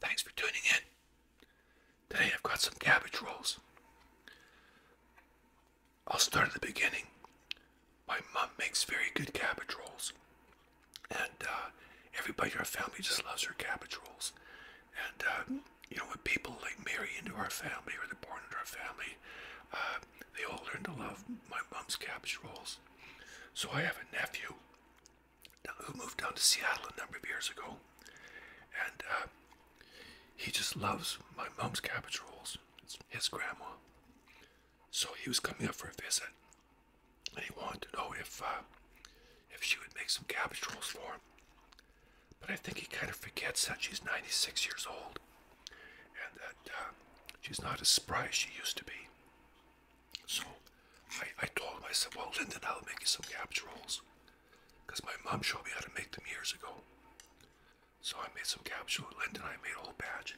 Thanks for tuning in. Today I've got some cabbage rolls. I'll start at the beginning. My mom makes very good cabbage rolls. And uh, everybody in our family just loves her cabbage rolls. And, uh, you know, when people like marry into our family or they're born into our family, uh, they all learned to love my mom's cabbage rolls. So I have a nephew who moved down to Seattle a number of years ago, and uh, he just loves my mom's cabbage rolls. It's his grandma. So he was coming up for a visit, and he wanted to know if uh, if she would make some cabbage rolls for him. But I think he kind of forgets that she's 96 years old and that uh, she's not as spry as she used to be. So I, I told myself, well, Linden, I'll make you some cabbage rolls. Because my mom showed me how to make them years ago. So I made some cabbage rolls. Linda I made a whole batch.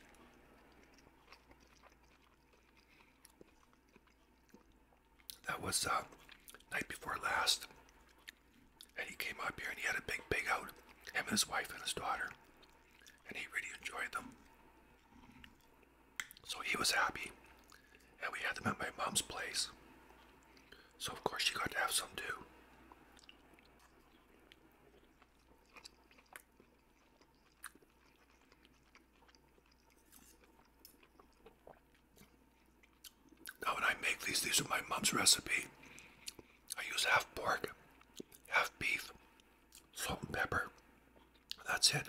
That was uh, night before last. And he came up here and he had a big pig out. Him and his wife and his daughter and he really enjoyed them. So he was happy, and we had them at my mom's place. So, of course, she got to have some too. Now, when I make these, these are my mom's recipe. I use half pork, half beef, salt and pepper. That's it.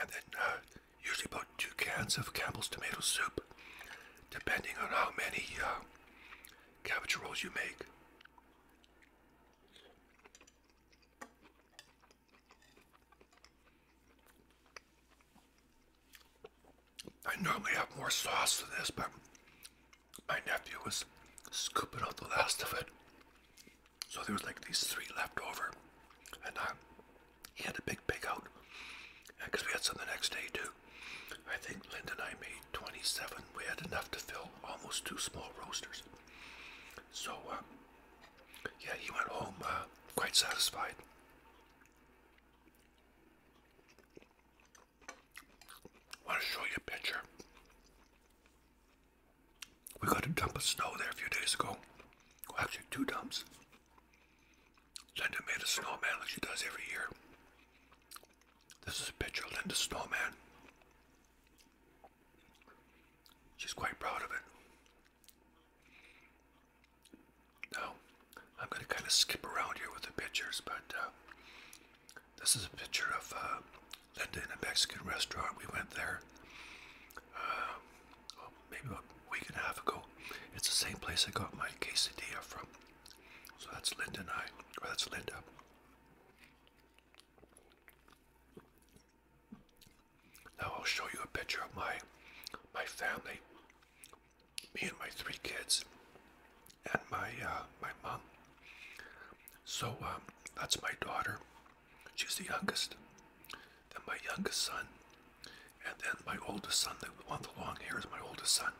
And then uh, usually about two cans of Campbell's tomato soup, depending on how many uh, cabbage rolls you make. I normally have more sauce than this, but my nephew was scooping out the last of it. So there was like these three left over, and I, uh, he had a big pig out, because we had some the next day too. I think Linda and I made 27. We had enough to fill almost two small roasters. So, uh, yeah, he went home uh, quite satisfied. want to show you a picture we got a dump of snow there a few days ago. actually, two dumps. Linda made a snowman like she does every year. This is a picture of Linda's snowman. She's quite proud of it. Now, I'm going to kind of skip around here with the pictures, but uh, this is a picture of uh, Linda in a Mexican restaurant. We went there uh, well, maybe a week and a half ago. It's the same place I got my quesadilla from. So that's Linda and I, or that's Linda. Now I'll show you a picture of my my family, me and my three kids, and my uh, my mom. So um, that's my daughter. She's the youngest. Then my youngest son. And then my oldest son, That one with the long hair, is my oldest son.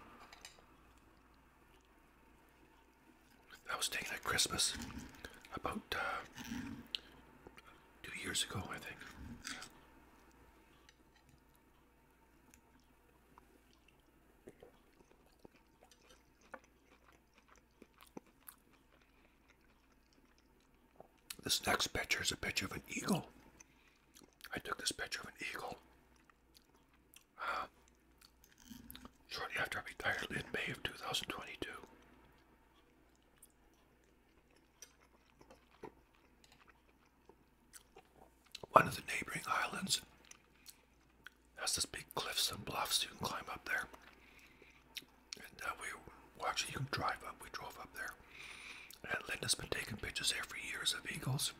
I was taking at Christmas about uh, two years ago, I think. This next picture is a picture of an eagle. I took this picture of an eagle uh, shortly after I retired in May of 2022. One of the neighboring islands that's this big cliffs and bluffs. You can climb up there. And uh, we, well, actually, you can drive up. We drove up there. And Linda's been taking pictures there for years of eagles.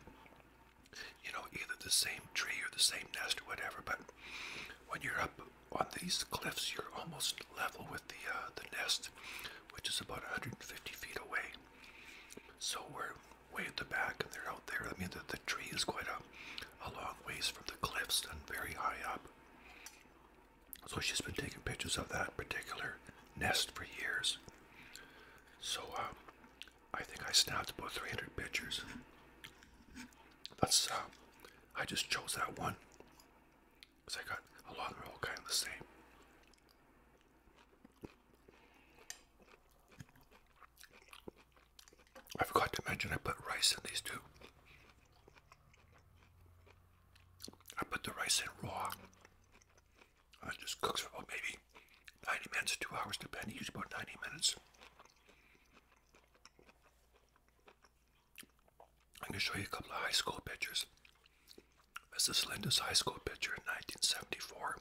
You know, either the same tree or the same nest or whatever. But when you're up on these cliffs, you're almost level with the uh, the nest, which is about 150 feet away. So we're way at the back, and they're out there. I mean, the, tree is quite a, a long ways from the cliffs and very high up. So she's been taking pictures of that particular nest for years. So um, I think I snapped about 300 pictures. But uh, I just chose that one because I got a lot of them all kind of the same. I forgot to mention I put rice in these too. I put the rice in raw. It just cooks for about maybe 90 minutes, two hours, depending. Usually about 90 minutes. I'm going to show you a couple of high school pictures. This is Linda's high school picture in 1974.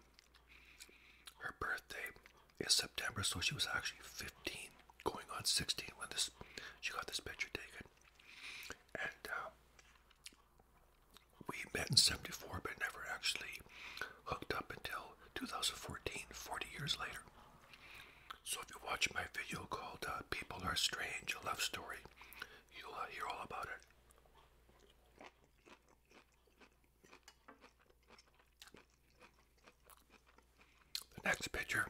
Her birthday, is September, so she was actually 15, going on 16 when this she got this picture taken. And um, we met in 74, but never actually hooked up until 2014, 40 years later. So if you watch my video called uh, People Are Strange, a Love Story, you'll uh, hear all about it. The next picture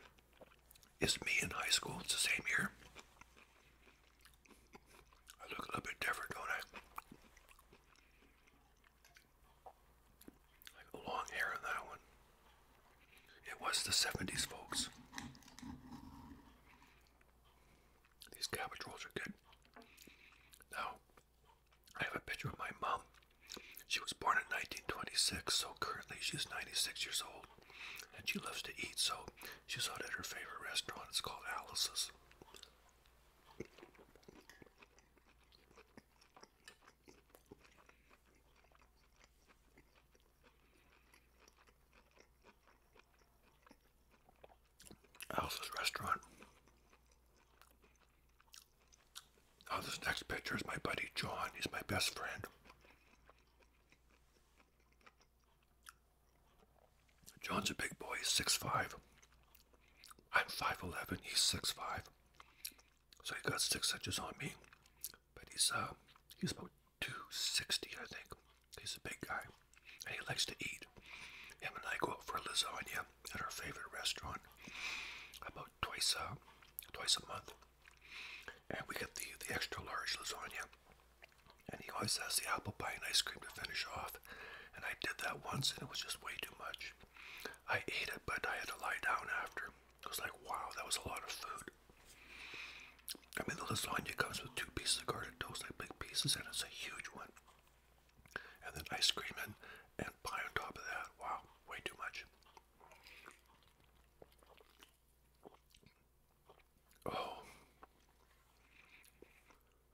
is me in high school. It's the same year. I look a little bit different, don't I? I got long hair on that one. It was the 70s, folks. These cabbage rolls are good. Now, I have a picture of my mom. She was born in 1926, so currently she's 96 years old. And she loves to eat, so she's out at her favorite restaurant. It's called Alice's. Alice's restaurant. Now oh, this next picture is my buddy John. He's my best friend. John's a big boy. He's five. I'm 5'11". He's six five, So he got six inches on me. But he's, uh, he's about 260, I think. He's a big guy. And he likes to eat. Him and I go out for lasagna at our favorite restaurant about twice a twice a month, and we get the the extra large lasagna. And he always has the apple pie and ice cream to finish off. And I did that once, and it was just way too much. I ate it, but I had to lie down after. It was like, wow, that was a lot of food. I mean, the lasagna comes with two pieces of garlic toast, like big pieces, and it's a huge one. And then ice cream and, and pie on top of that. Wow, way too much. Oh.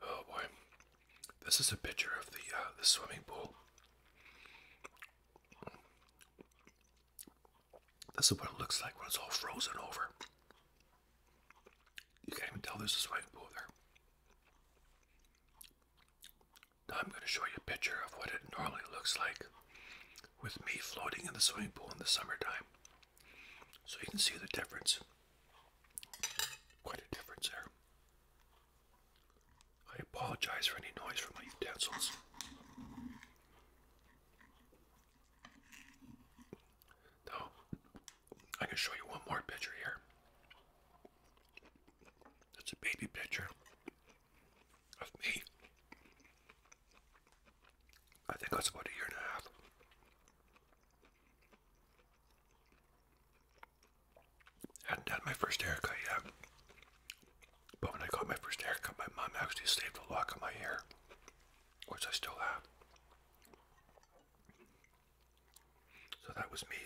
Oh boy. This is a picture of the uh, the swimming pool. This is what it looks like when it's all frozen over. You can't even tell there's a swimming pool there. I'm going to show you a picture of what it normally looks like with me floating in the swimming pool in the summertime. So you can see the difference. Quite a difference there. I apologize for any noise from my utensils. Now, I can show you one more picture here. It's a baby picture of me. I think that's about a year and a half. Hadn't had my first haircut yet. But when I got my first haircut, my mom actually saved a lock of my hair, which I still have. So that was me.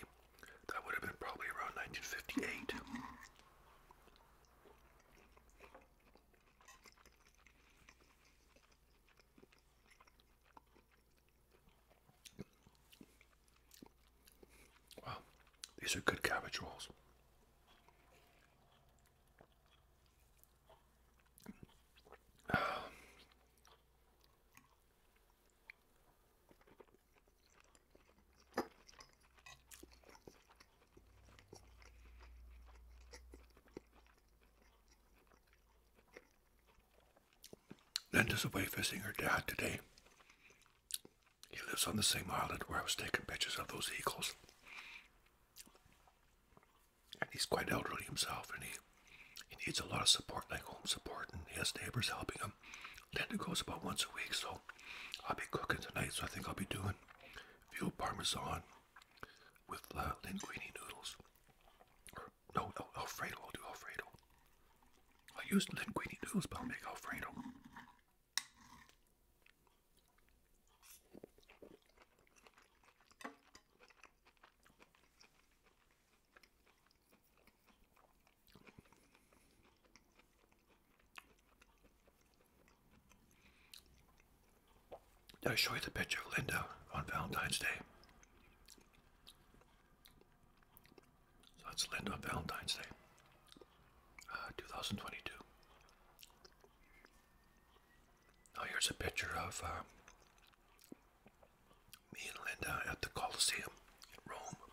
That would have been probably around 1958. Wow, these are good cabbage rolls. Linda's away visiting her dad today. He lives on the same island where I was taking pictures of those eagles. And he's quite elderly himself and he, he needs a lot of support, like home support, and his neighbors helping him um, Linda goes about once a week, so I'll be cooking tonight. So I think I'll be doing veal parmesan with uh, linguine noodles. no, no, Alfredo. I'll do Alfredo. I use linguine noodles, but I'll make Alfredo. Did I show you the picture of Linda on Valentine's Day? that's Linda on Valentine's Day, uh, 2022. Now here's a picture of uh, me and Linda at the Coliseum in Rome.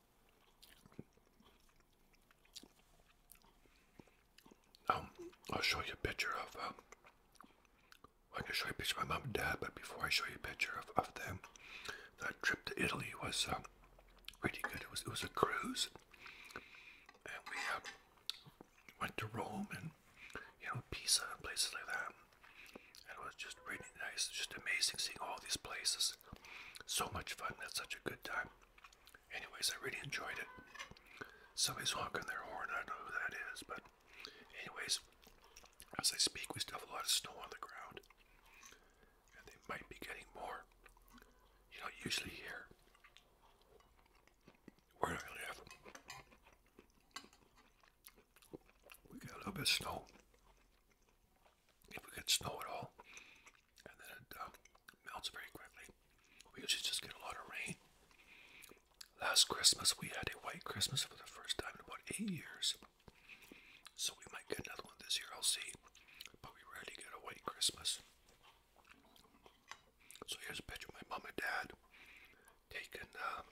Um, I'll show you a picture of. I'm um, gonna show you a picture of my mom and dad, but before I show you a picture of, of them, that trip to Italy was um, really good. It was it was a cruise, and we went to Rome and you know Pisa and places like that. And it was just really nice, just amazing seeing all these places. So much fun. That's such a good time anyways, I really enjoyed it. Somebody's honking their horn. I don't know who that is, but anyways, as I speak, we still have a lot of snow on the ground, and they might be getting more. You know, usually here, where I live, we got a little bit of snow. If we get snow at all, and then it um, melts very quickly. We usually just get a lot of rain. Last Christmas, we had a white Christmas for the first time in about eight years. So we might get another one this year, I'll see. But we rarely get a white Christmas. So here's a picture of my mom and dad taken um,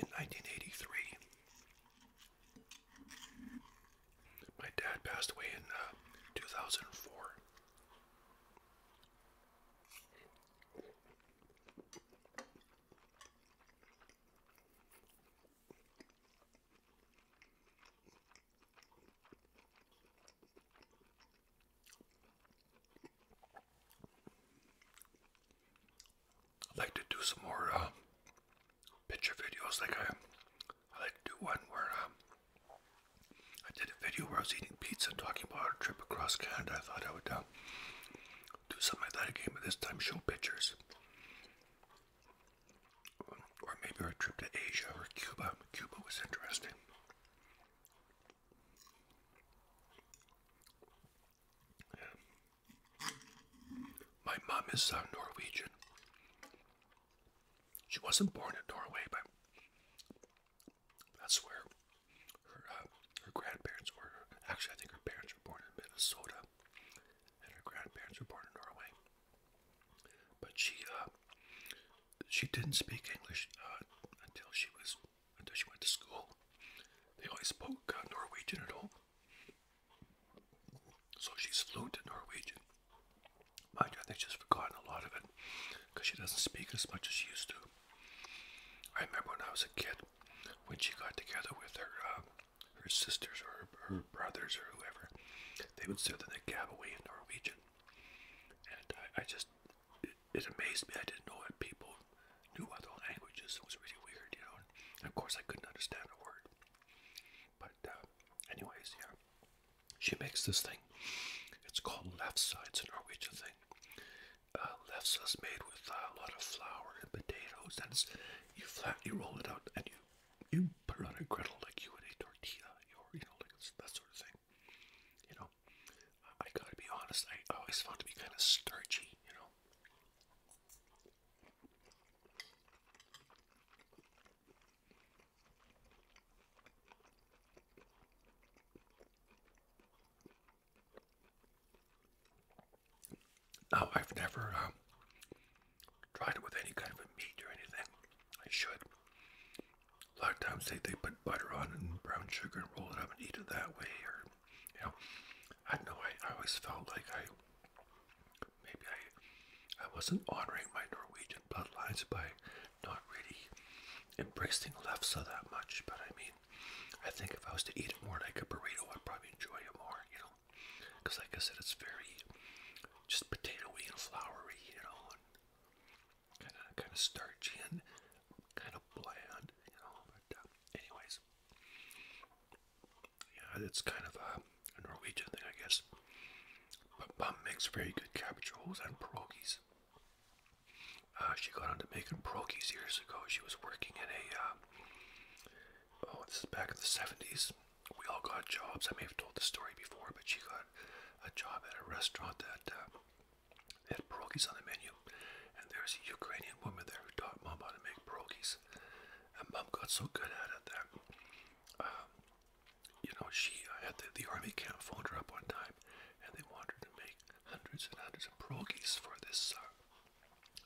in 1983. My dad passed away in uh, 2004. I'd like to do some more uh, picture videos like I I like one where um, I did a video where I was eating pizza and talking about our trip across Canada. I thought I would um, do something like that again, but this time show pictures. Or maybe our trip to Asia or Cuba. Cuba was interesting. My mom is uh, Norwegian. She wasn't born in Norway, but that's where her, uh, her grandparents were. Actually, I think her parents were born in Minnesota, and her grandparents were born in Norway. But she uh, she didn't speak English uh, until she was until she went to school. They always spoke Norwegian at home. So she's fluent in Norwegian. Mind you, I think she's forgotten a lot of it because she doesn't speak as much as she used to. I remember when I was a kid, when she got together with her uh, her sisters or her, brothers or whoever, they would sit in the cab away in Norwegian. And I, just, it, amazed me. I didn't know that people knew other languages. It was really weird, you know. of course, I couldn't understand a word. But uh, anyways, yeah, she makes this thing. It's called left side. It's a Norwegian thing. Uh, left side's made with a lot of flour and potatoes, and you flat, you roll it out, and you you put it on a griddle like you would a tortilla, or you know, like that sort of thing. You know, I, I gotta be honest. I always found it to be kind of starchy. You know. Now, I've never um, tried it with any kind of meat or anything. I should. A lot of times they, they put butter on and brown sugar and roll it up and eat it that way. Or, you know, I know, I, I always felt like I Maybe I, I wasn't honoring my Norwegian bloodlines by not really embracing lefse that much, but I mean, I think if I was to eat it more like a burrito, I'd probably enjoy it more, you know? Because, like I said, it's very just potatoey and floury, you know, and kind of kind of starchy and kind of bland, you know. Uh, anyways, yeah, it's kind of a, Norwegian thing, I guess. But Mom makes very good cabbage rolls and pierogies. Uh, she got into making pierogies years ago. She was working in a, uh, oh, this is back in the 70s. We all got jobs. I may have told the story before, but she got a job at a restaurant that uh, had pierogies on the menu. And there's a Ukrainian woman there who taught Mom how to make pierogies. And Mom got so good at it that um, you know, she had the, the army camp phoned her up one time, and they wanted her to make hundreds and hundreds of pierogies for this uh,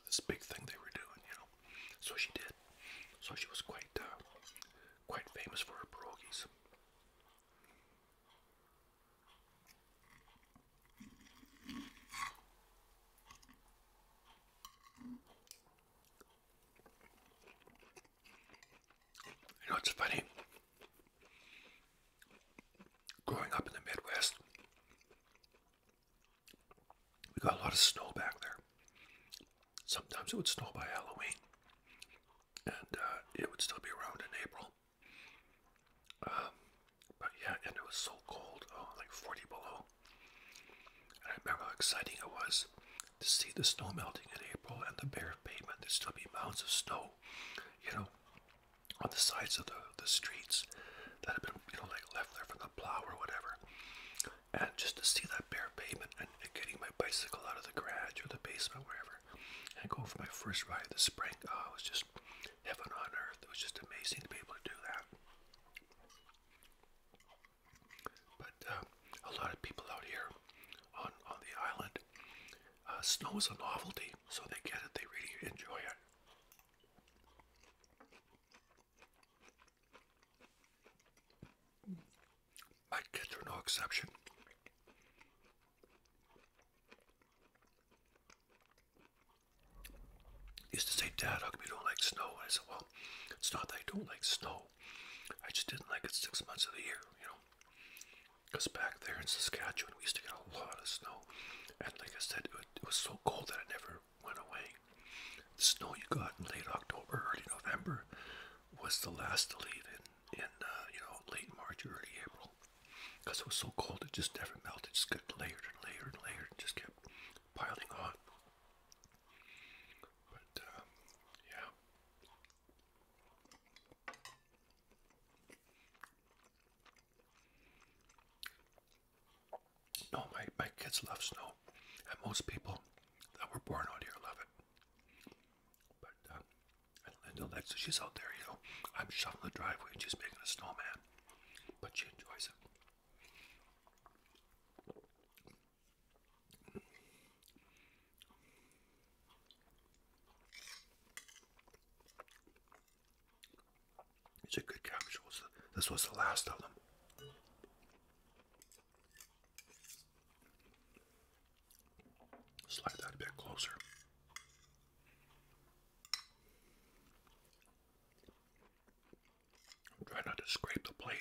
this big thing they were doing, you know. So she did. So she was quite uh, quite famous for her pierogies. You know, it's funny. Growing up in the Midwest, we got a lot of snow back there. Sometimes it would snow by Halloween, and uh, it would still be around in April. Um, but yeah, and it was so cold, oh, like 40 below. And I remember how exciting it was to see the snow melting in April and the bare pavement. There'd still be mounds of snow, you know, on the sides of the, the streets that had been, you know, like left there from the plow or whatever. And just to see that bare pavement and, getting my bicycle out of the garage or the basement, wherever, and go for my first ride this spring, oh, it was just heaven on earth. It was just amazing to be able to do that. But uh, a lot of people out here on, on the island, uh, snow is a novelty, so they get it, they really enjoy it. My kids are no exception. Used to say, Dad, how come you don't like snow? I said, Well, it's not that I don't like snow so I just didn't like it six months of the year, you know. Because back there in Saskatchewan, we used to get a lot of snow, and like I said, it, it was so cold that it never went away. The snow you got in late October, early November, was the last to leave in, in uh, you know, late March, early April. Because it was so cold, it just never melted. It just got layered and layered and layered, and just kept piling on. But, um, yeah. No, my, my kids love snow, and most people that were born out here love it. But, um, and Linda likes She's out there, you know. I'm shoveling the driveway and she's making a snowman, but she enjoys it. It's a good capsule. this was the last of them. Slide that a bit closer. Try not to scrape the plate.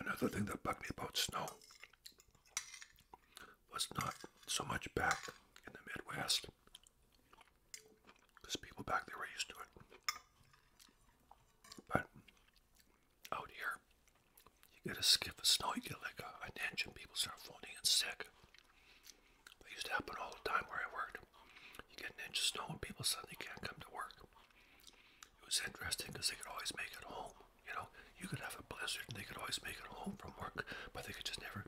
Another thing that bugged me about snow was not so much back in the Midwest, people back there were used to it. But out here, you get a skiff of snow, you get like a, an inch, people start phoning and sick. It used to happen all the time where I worked. You get an inch of snow, and people suddenly can't come to work. It was interesting because they could always make it home. You know, you could have a blizzard, and they could always make it home from work, but they could just never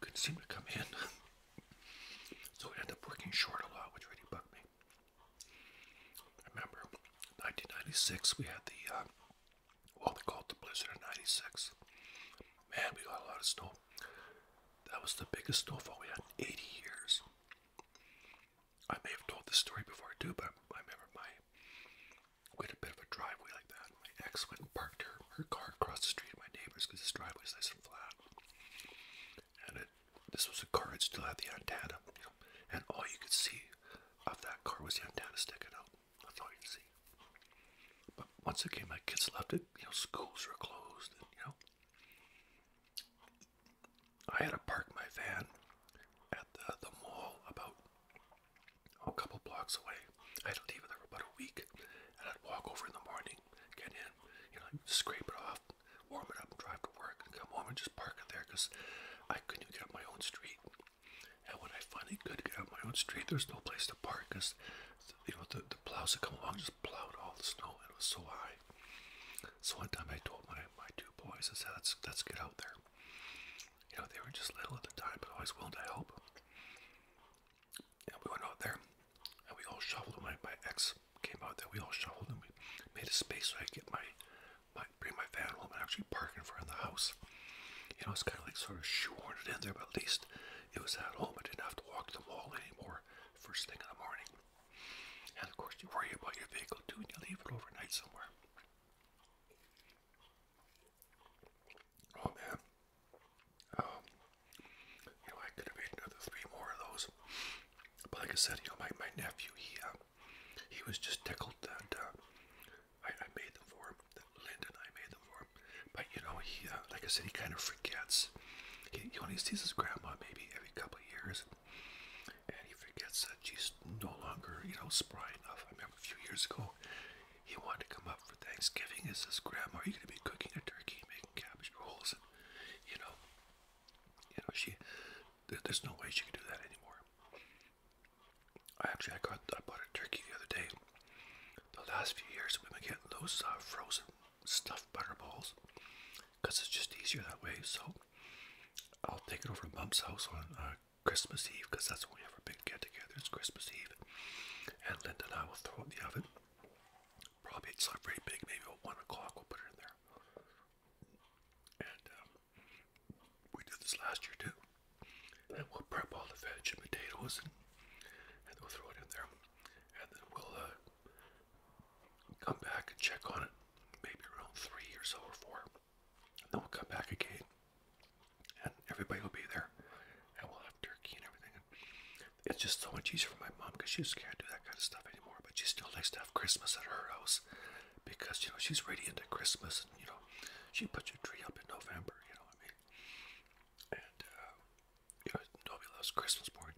couldn't seem to come in. so we end up working short a lot, which really bugged me. remember 1996, we had the uh, we they called the blizzard of 96. Man, we got a lot of snow. That was the biggest snowfall we had in 80 years. I may have told this story before too, but I remember my we had a bit of a driveway like that. My ex went and parked her, her car across the street of my neighbor's because this driveway driveway's nice and flat. And it, this was a car It still had the antenna, and all you could see of that car was the antenna sticking out. That's all you can see. But once again, my kids loved it. You know, schools were closed, and, you know. I had to park my van at the, the mall about oh, a couple blocks away. I had to leave it there for about a week, and I'd walk over in the morning, get in, you know, scrape it off, warm it up, and drive to work, and come home and just park it there because I couldn't get my own street. And when I finally could get out my own street, there was no place to park because, you know, the, the plows that come along just plowed all the snow and it was so high. So one time I told my, my two boys, I said, let's, let's get out there. You know, they were just little at the time, but always willing to help. And we went out there and we all shoveled. My, my ex came out there, we all shoveled and we made a space so I could get my, my, bring my van home and actually park in front of the house. You know, it's kind of like sort of shoehorned in there, but at least it was at home. I didn't have to walk the mall anymore first thing in the morning. And of course, you worry about your vehicle too and you leave it overnight somewhere. Oh man. Um, you know, I could have made another three more of those. But like I said, you know, my, my nephew, he um, he was just tickled that uh, I, I made them for him. Lyndon, I made them for him. But you know, he, uh, like I said, he kind of forgets. He, you know, he sees his grandma maybe every couple years, and he forgets that she's no longer, you know, spry enough. I remember a few years ago, he wanted to come up for Thanksgiving. Is his grandma? Are you going to be cooking a turkey, and making cabbage rolls, you know, you know, she. There's no way she can do that anymore. I actually I got I bought a turkey the other day. The last few years we've been getting those uh, frozen stuffed butterballs because it's just easier that way. So I'll take it over to Mum's house on uh, Christmas Eve because that's when we have our big get-together. It's Christmas Eve, and Linda and I will throw it in the oven. Probably it's not very big. Maybe at one o'clock we'll put it in there. And um, we did this last year too. And we'll prep all the veg and potatoes and, we'll throw it in there. And then we'll uh, come back and check on it maybe around three or so or four. And then we'll come back again. And everybody will be there. And we'll have turkey and everything. it's just so much easier for my mom because she just can't do that kind of stuff anymore. But she still likes to have Christmas at her house because, you know, she's radiant into Christmas. And, you know, she puts her tree up in November, you know what I mean? And, uh, you know, nobody loves Christmas more than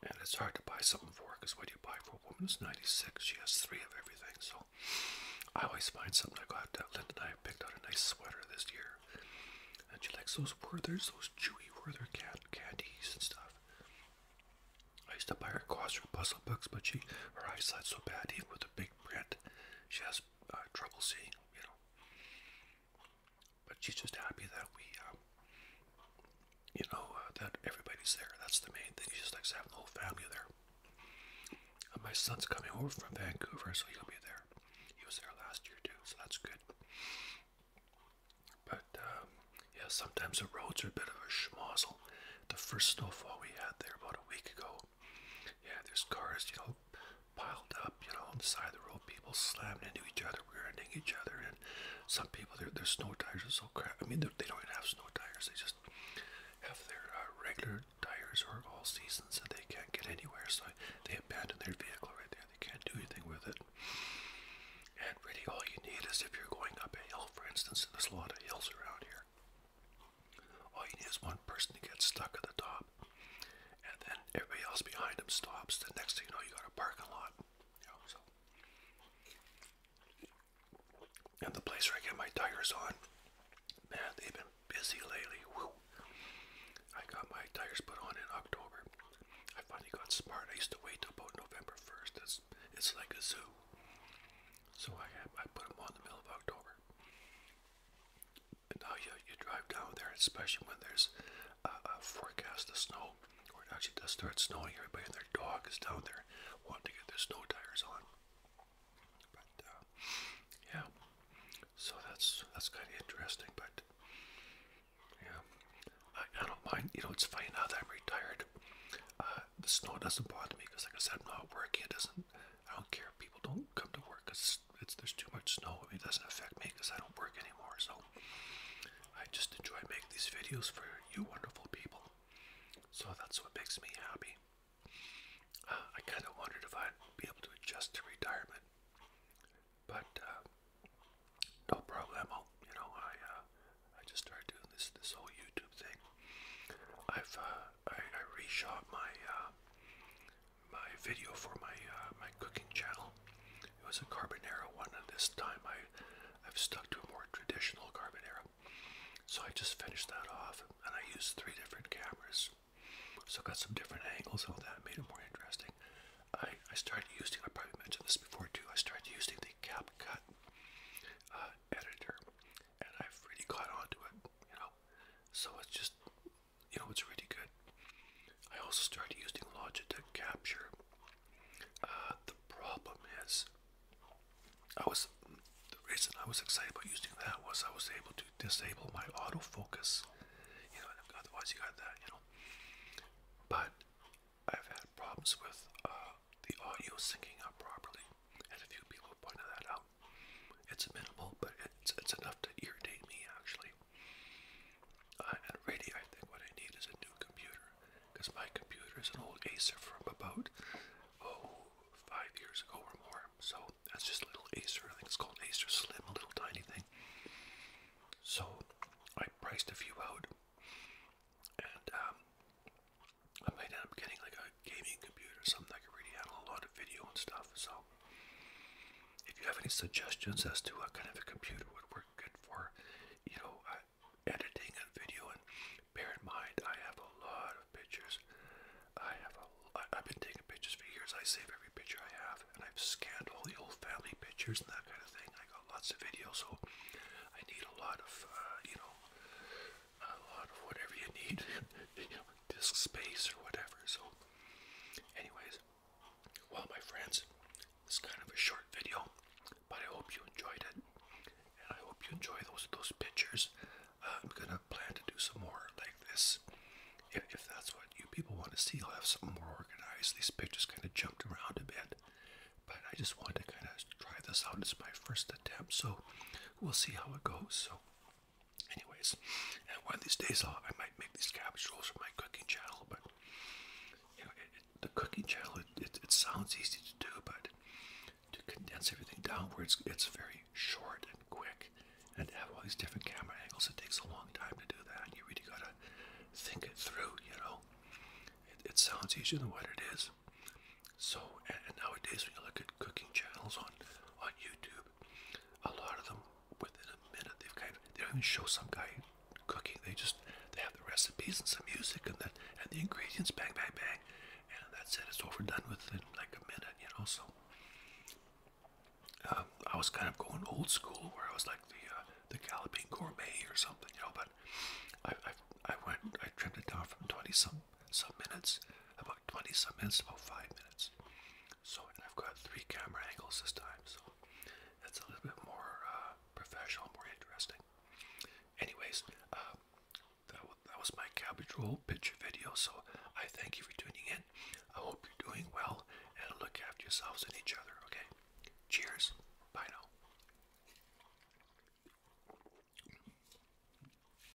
And it's hard to buy something for her because what do you buy for a woman who's 96? She has three of everything. So I always find something I like that. Linda and I picked out a nice sweater this year. And she likes those Werther's, those chewy Werther can candies and stuff. I used to buy her Crossword puzzle books, but she her eyesight's so bad, even with big print. She has uh, trouble seeing, you know. But she's just happy that we, um, you know, uh, that everybody's there. That's the main thing. She just likes to have the whole family there. my son's coming over from Vancouver, so he'll be there. He was there last year too, so that's good. But um, yeah, sometimes the roads are a bit of a schmozzle. The first snowfall we had there about a week ago so, yeah, there's cars, you know, piled up, you know, on the side of the road, people slamming into each other, rear-ending each other, and some people, their, their snow tires are so crap. I mean, they don't even have snow tires. They just have their uh, regular tires or all seasons, and they can't get anywhere. So they abandon their vehicle right there. They can't do anything with it. And really, all you need is if you're going up a hill, for instance, and there's a lot of hills around here. All you need is one person to get stuck at the top, and then everybody else behind them stops. The next thing you know, you got a parking lot. And the place where I get my tires on, man, they've been busy lately. I got my tires put on in October. I finally got smart. I used to wait till about November 1st. It's, it's like a zoo. So I, I put them on the middle of October. And now you, you drive down there, especially when there's a, forecast of snow, or it actually does start snowing. Everybody and their dog is down there wanting to get their snow tires on. But uh, yeah, so that's that's kind of interesting. But yeah, I, I don't mind. You know, it's funny now that I'm retired. Uh, the snow doesn't bother me because, like I said, I'm not working. It doesn't I don't care if people don't come to work because it's, there's too much snow. It doesn't affect me because I don't work anymore. So I just enjoy making these videos for you wonderful people. So that's what makes me happy. Uh, I kind of wondered if I'd be able to adjust to retirement, but uh, no problemo. You know, I uh, I just started doing this this whole YouTube thing. I've I, I reshot my uh, my video for my uh, my cooking channel. It was a carbonara one, and this time I I've stuck to a more traditional carbonara. So I just finished that off, and I used three different cameras. So I got some different angles of that, made it more interesting. I, I started using, I probably mentioned this before too, I started using the CapCut uh, editor, and I've really got onto it. You know, so it's just, you know, it's really good. I also started using Logitech Capture. Uh, the problem is, I was the reason I was excited about using that was I was able to disable my autofocus. You know, otherwise you got that, you know. But I've had problems with uh, the audio syncing up properly, and a few people pointed that out. Um, it's minimal, but it's, it's enough to irritate me actually. Uh, and really, I think what I need is a new computer because my computer is an old Acer from about oh five years ago or more. So that's just a little Acer. I think it's called Acer Slim, a little tiny thing. So I priced a few out, and um, I might end up getting like a gaming computer, something I can really handle a lot of video and stuff. So, if you have any suggestions as to what kind of a computer would work good for, you know, uh, editing a video, and bear in mind, I have a lot of pictures. I have a, I've been taking pictures for years. I save every picture I have, and I've scanned all the old family pictures and that kind of thing. I got lots of videos, so I need a lot of, uh, you know, a lot of whatever you need, disk space or whatever. So, anyways, well, my friends, it's kind of a short video, but I hope you enjoyed it, and I hope you enjoy those those pictures. Uh, I'm gonna plan to do some more like this. If, if that's what you people want to see, I'll have something more organized. These pictures kind of jumped around a bit, but I just wanted to kind of try this out. It's my first attempt, so we'll see how it goes. So, Anyways, and one of these days i I might make these cabbage rolls for my cooking channel, but you know, it, the cooking channel, it, it sounds easy to do, but to condense everything down where it's, it's very short and quick and to have all these different camera angles, it takes a long time to do that. You really gotta think it through, you know. It, it sounds easier than what it is. So, nowadays when you look at cooking channels on on YouTube, a lot of them within a minute they've kind of they don't even show some guy cooking. They just they have the recipes and some music and then and the ingredients, bang, bang, bang, and that's it. It's overdone within like a minute, you know. So. Um, I was kind of going old school, where I was like the uh, the galloping gourmet or something, you know. But I I, I went I trimmed it down from twenty some some minutes, about 20 some minutes, about 5 minutes. So, and I've got three camera angles this time, so that's a little bit more uh, professional, more interesting. Anyways, um, that, that was my cabbage roll picture video, so I thank you for tuning in. I hope you're doing well and look after yourselves and each other, okay? Cheers. Bye now.